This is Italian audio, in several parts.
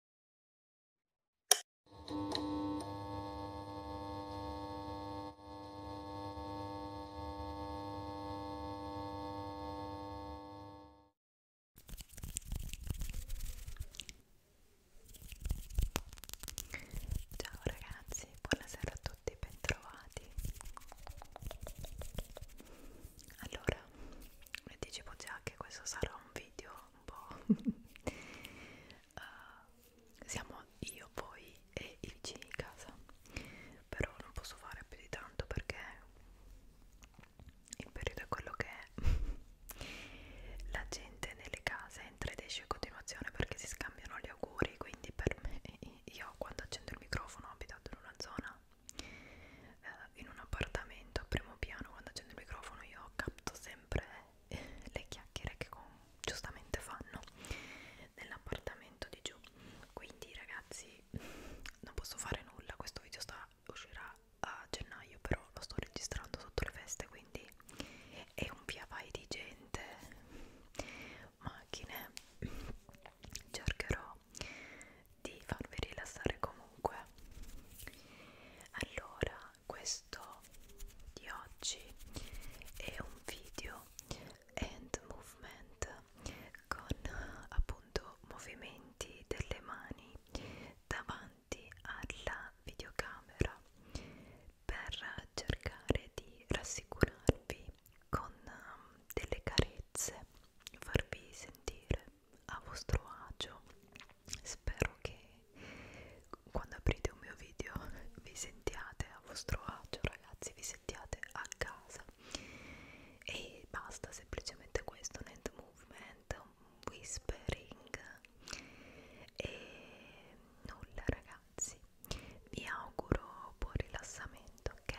Ciao ragazzi, buonasera a tutti, bentrovati. Allora, vi dicevo già che questo sarà un video un po' uh, siamo io, voi e i vicini di casa però non posso fare più di tanto perché il periodo è quello che è la gente nelle case entra ed esce in continuazione perché si scambiano gli auguri quindi per me io quando accendo il microfono abitato in una zona eh, in un appartamento a primo piano quando accendo il microfono io capto sempre eh, le chiacchiere che con, giustamente fanno nell'appartamento di giù quindi ragazzi non posso fare nulla questo video sta, uscirà a gennaio però lo sto registrando sotto le feste quindi è un via vai di gente macchine cercherò di farvi rilassare comunque allora questo di oggi è un video hand movement con appunto movimenti delle mani davanti alla videocamera per cercare di rassicurarvi con um, delle carezze farvi sentire a vostro agio spero che quando aprite un mio video vi sentiate a vostro agio ragazzi vi sentiate a casa e basta semplicemente questo un hand movement un whispering e nulla ragazzi vi auguro buon rilassamento ok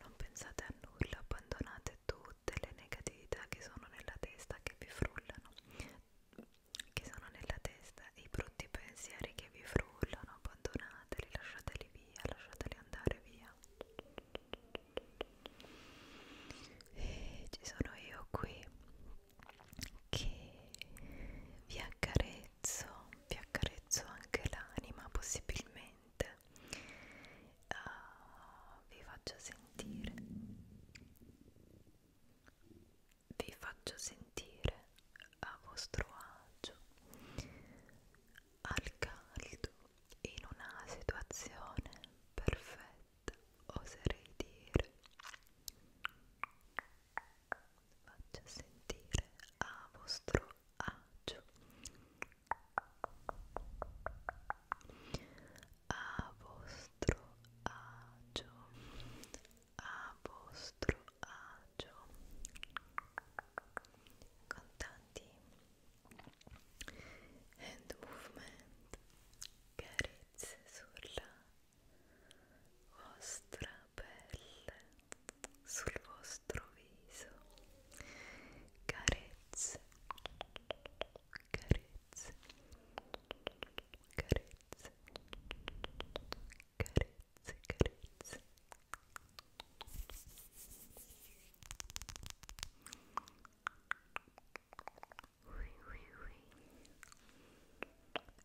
Non pensate a nulla, abbandonate tutte le negatività che sono nella testa che vi frullano, che sono nella testa, i brutti pensieri che vi frullano, abbandonateli, lasciateli via, lasciateli andare via. E eh, ci sono io qui che vi accarezzo, vi accarezzo anche l'anima possibilmente uh, vi faccio sentire vi faccio sentire a vostro agio al caldo in una situazione perfetta oserei dire faccio sentire a vostro agio a vostro agio a vostro agio con tanti hand movement carezze sulla vostra pelle, sul vostro viso, carezze, carezze, carezze, carezze, carezze. Oui, oui, oui.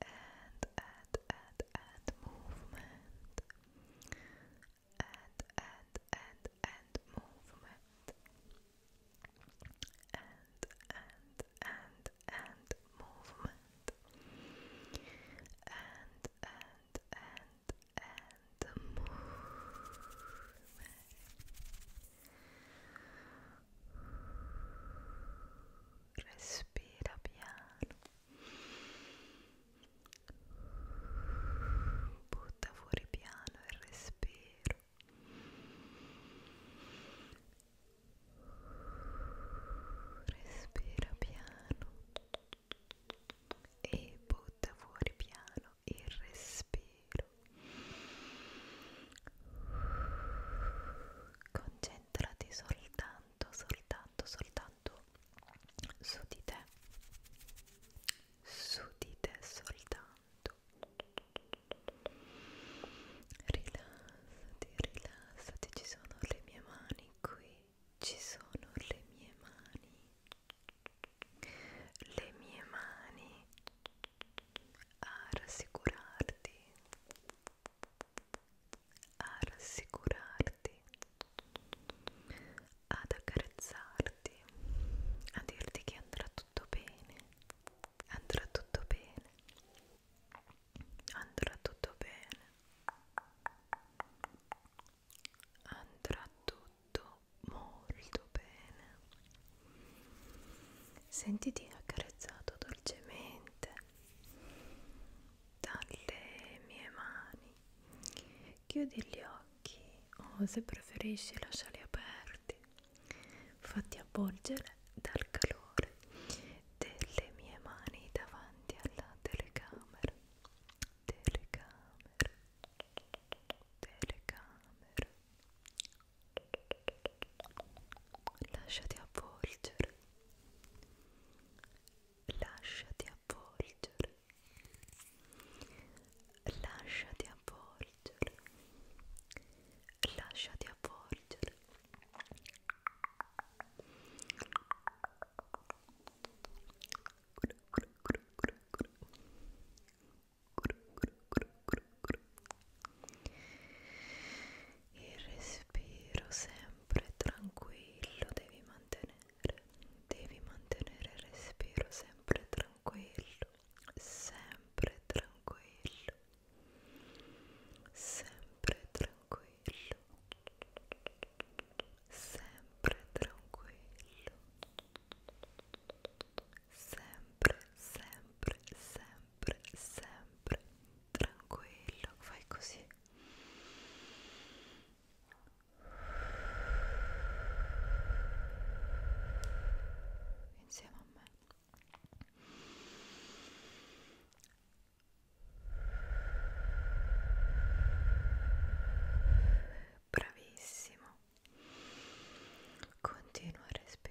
And, and, and, and movement, and and and and movement and and and and movement and and and and movement respira piano Butta fuori piano il respiro. Respira piano e butta fuori piano il respiro. Concentrati soltanto, soltanto soltanto, soltanto su di te, su di te soltanto. Rilassati, rilassati, ci sono le mie mani qui, ci sono le mie mani, le mie mani a rassicurarti a rassicurarti, ad accarezzarti, a dirti che andrà tutto bene, andrà tutto bene, andrà tutto bene, andrà tutto molto bene. Sentiti accarezzato dolcemente dalle mie mani chiudi gli occhi o oh, se preferisci lasciali aperti fatti avvolgere dal calore delle mie mani davanti alla telecamera telecamera telecamera Lasciati avvolgere. Lasciati avvolgere. Lasciati avvolgere. Lasciati avvolgere. Cru, cru, cru, cru, cru. Cru, il respiro sempre tranquillo devi mantenere devi mantenere il respiro sempre tranquillo sempre tranquillo sempre tranquillo sempre tranquillo sempre sempre sempre sempre, sempre tranquillo. Fai così. Insieme a me. Bravissimo. Continua a respirare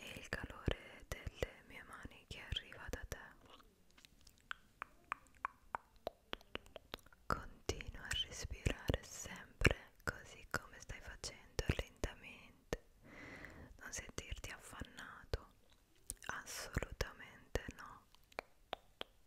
e il calore delle mie mani che arriva da te continua a respirare sempre così come stai facendo lentamente non sentirti affannato assolutamente no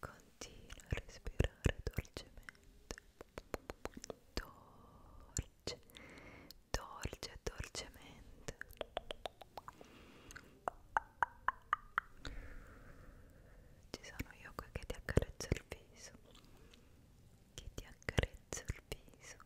Continua a respirare dolcemente, dolce, dolce, dolcemente. Ci sono io qui che ti accarezzo il viso, che ti accarezzo il viso.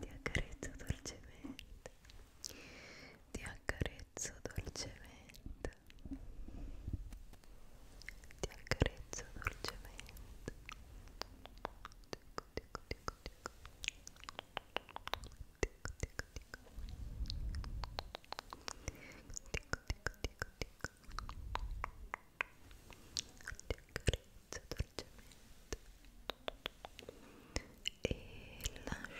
ti accarezzo dolcemente ti accarezzo dolcemente ti accarezzo dolcemente dico dico dico dico dico dico dico dico dico dico dico dico ti accarezzo lascio fluttuare le mani le mani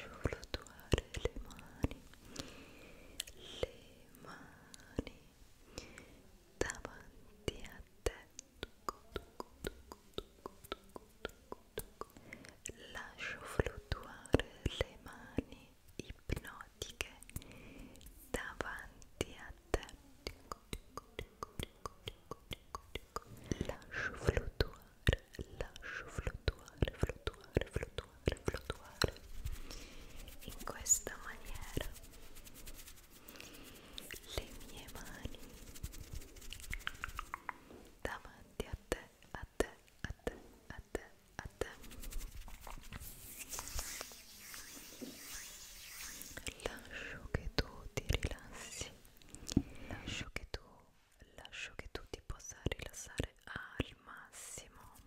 davanti a te lascio fluttuare le mani ipnotiche pratiche davanti a te lascio fluttuare lascio fluttuare fluttuare fluttuare fluttuare in questa maniera le mie mani davanti a te a te a te a te a te Lascio che tu ti rilassi, lascio che tu, lascio che tu ti possa rilassare al massimo.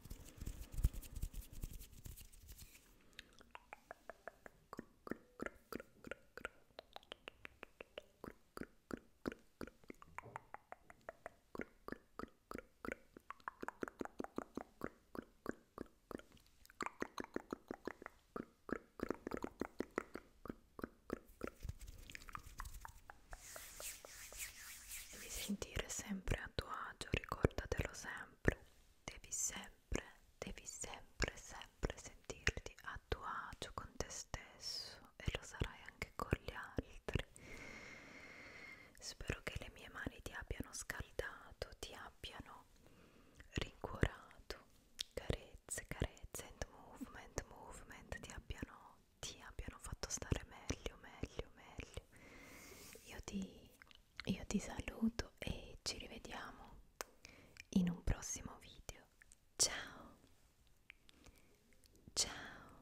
E mi sentire sempre a tuo agio, ricordatelo sempre. Devi sempre, devi sempre, sempre sentirti a tuo agio con te stesso e lo sarai anche con gli altri. Spero che le mie mani ti abbiano scaldato, ti abbiano rincuorato, carezze, carezze, and movement, movement, ti abbiano, ti abbiano fatto stare meglio, meglio, meglio. Io ti, io ti saluto e ci rivediamo in un prossimo video. Ciao! Ciao!